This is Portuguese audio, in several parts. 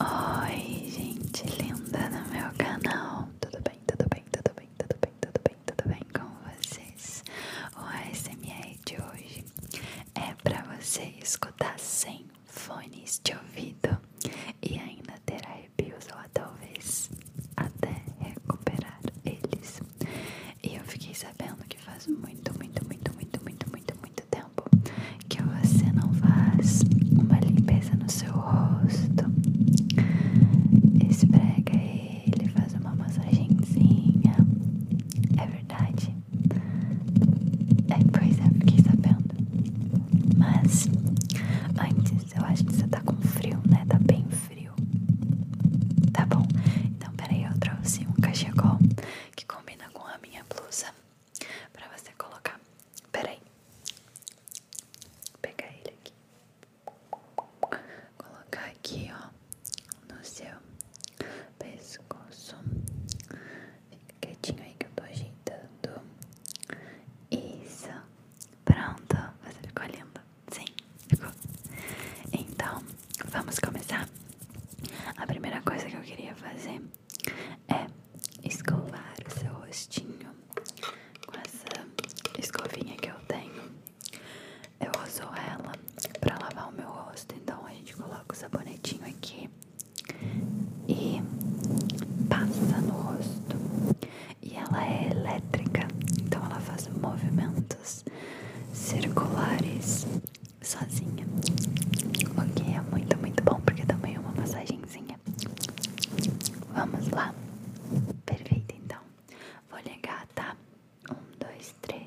Oi, gente linda do meu canal. Tudo bem, tudo bem, tudo bem, tudo bem, tudo bem, tudo bem com vocês? O ASMR de hoje é para você escutar sem fones de ouvido e ainda ter arrepios ou talvez até recuperar eles. E eu fiquei sabendo que faz muito, muito, muito, muito, muito, muito, muito, muito tempo que você não faz uma limpeza no seu rosto, esfrega ele, faz uma massagenzinha. É verdade? É, pois é, fiquei sabendo. Mas antes, eu acho que você tá com frio, né? Tá bem frio. Tá bom, então peraí, eu trouxe um cachecol que combina com a minha blusa pra você colocar. Peraí, pegar ele aqui, colocar aqui ó no seu pescoço. Fica quietinho aí que eu tô ajeitando. Isso, pronto. Você ficou linda? Sim, ficou. Então, vamos começar. A primeira coisa que eu queria fazer é escovar o seu rostinho com essa escovinha que eu tenho. Eu uso ela para lavar o meu rosto, então a gente coloca o sabonetinho aqui e passa no rosto. E ela é elétrica, então ela faz movimentos circulares sozinha. O que é muito, muito bom, porque também é uma massagenzinha. Vamos lá. Perfeito, então. Vou ligar, tá? Um, dois, três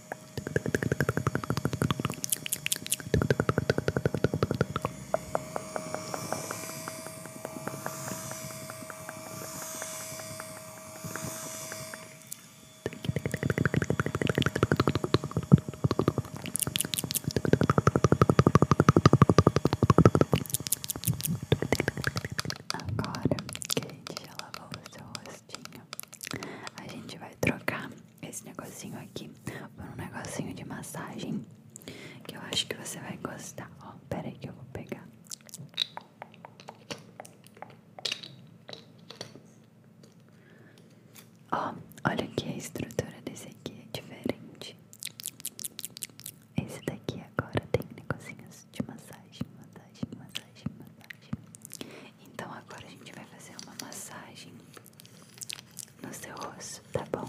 Agora que a gente já lavou o seu rostinho a gente vai trocar esse negocinho aqui por um negocinho de massagem que eu acho que você vai gostar. Ó, oh, aí que eu vou pegar. Ó, olha que a estrutura desse aqui é diferente. Esse daqui agora tem negocinhos de massagem, massagem, massagem, massagem. Então agora a gente vai fazer uma massagem no seu rosto, tá bom?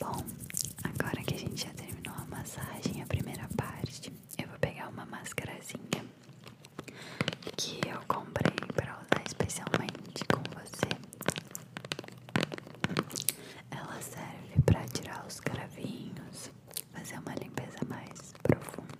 Bom, agora que a gente já terminou a massagem, a primeira parte, eu vou pegar uma máscarazinha que eu comprei para usar especialmente com você. Ela serve para tirar os cravinhos, fazer uma limpeza mais profunda.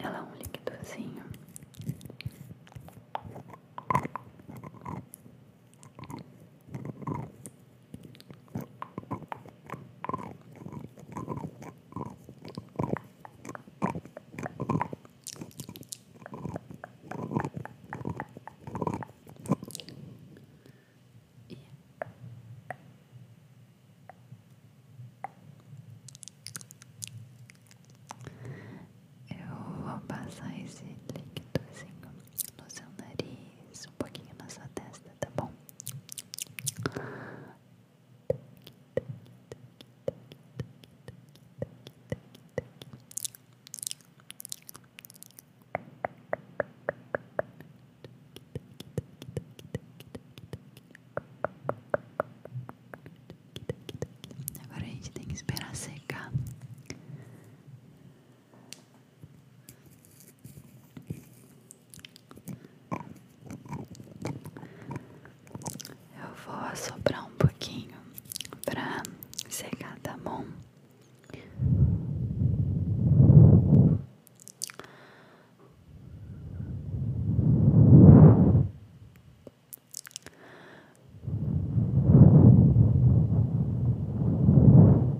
Ela é um líquidozinho eu vou passar esse líquidozinho no seu nariz, um pouquinho nessa testa, tá bom? Agora a gente tem que esperar secar eu vou assoprar um pouquinho para secar, tá bom?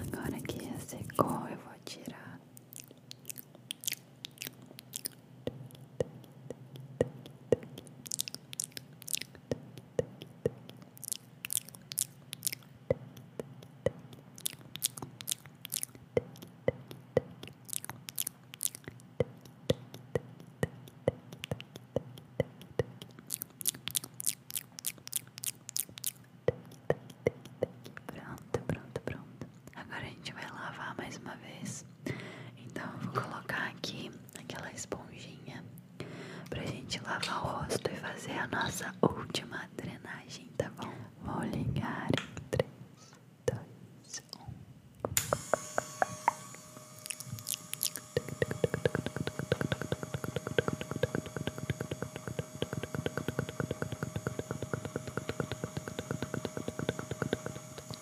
Agora que já secou, eu vou tirar Pronto, pronto, pronto. Agora a gente vai lavar mais uma vez. Então eu vou colocar aqui aquela esponjinha pra gente lavar o rosto e fazer a nossa última drenagem, tá bom? Vou ligar em 3, 2, 1.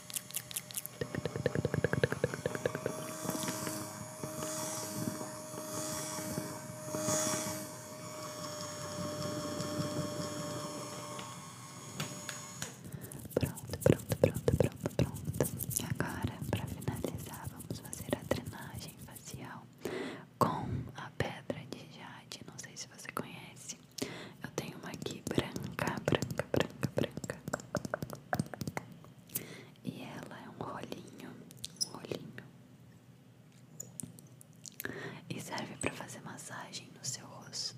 Pronto, pronto, pronto, pronto, pronto. E agora, para finalizar, vamos fazer a drenagem facial com a pedra de jade. Não sei se você conhece. Eu tenho uma aqui branca, branca, branca, branca. E ela é um rolinho, um rolinho. E serve para fazer massagem no seu rosto.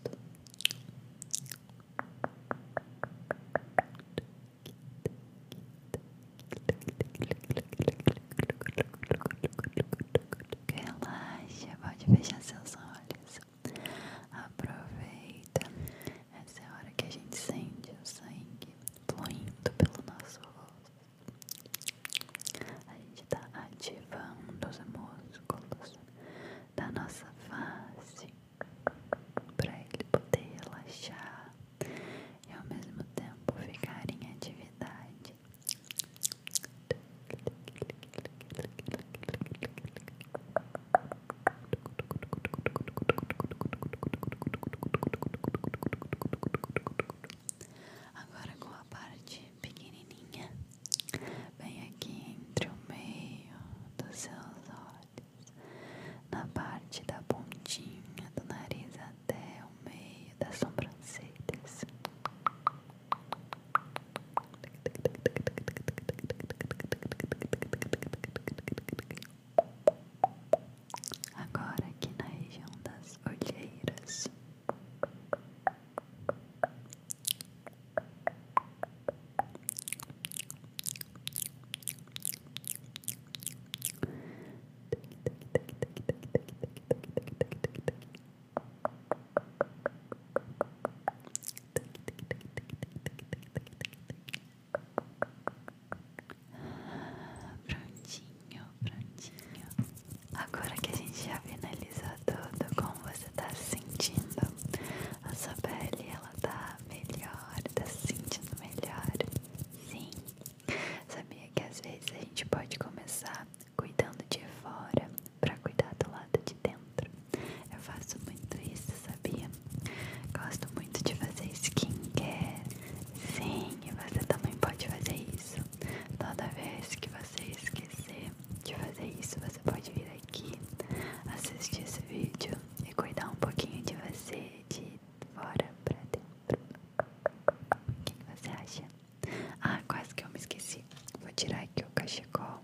Relaxa, pode fechar seus olhos. Aproveita. Essa é a hora que a gente sente o sangue fluindo pelo nosso rosto. A gente está ativando os músculos da nossa face para ele poder relaxar e ao mesmo tempo ficar em atividade. Agora com a parte pequenininha, bem aqui entre o meio dos seus olhos, na parte da pontinha do nariz até o meio das sobrancelhas. Agora aqui na região das olheiras. Prontinho, prontinho. Agora que a gente já finalizou tudo, como você tá sentindo? A sua pele, ela tá melhor, tá se sentindo melhor? Sim. Sabia que às vezes a gente pode começar cuidando de fora para cuidar do lado de dentro. Eu faço muito isso, sabia? Gosto muito de fazer skincare. Sim, você também pode fazer isso. Toda vez que você esquecer de fazer isso, você pode vir aqui, assistir esse vídeo e cuidar um pouquinho de você de fora pra dentro. O que você acha? Ah, quase que eu me esqueci. Vou tirar aqui o cachecol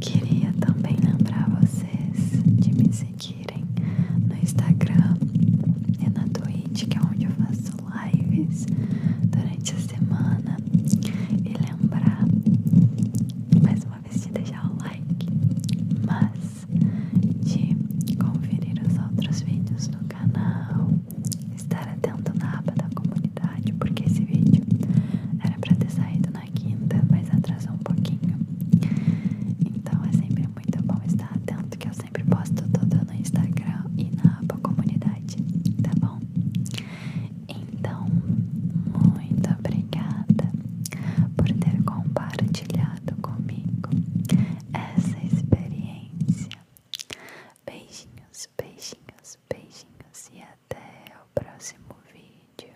Queria também lembrar vocês de me seguirem no Instagram e na Twitch, que é onde eu faço lives durante a semana. E lembrar mais uma vez de deixar o like, mas de conferir os outros vídeos no canal estar atento na aba da comunidade, porque esse vídeo era para ter saído na quinta, mas atrasou um pouquinho. Então é sempre muito bom estar atento, que eu sempre posto tudo no Instagram e na aba comunidade, tá bom? Então, muito obrigada por ter compartilhado comigo essa experiência. Beijinhos, beijinhos, beijinhos até o próximo vídeo.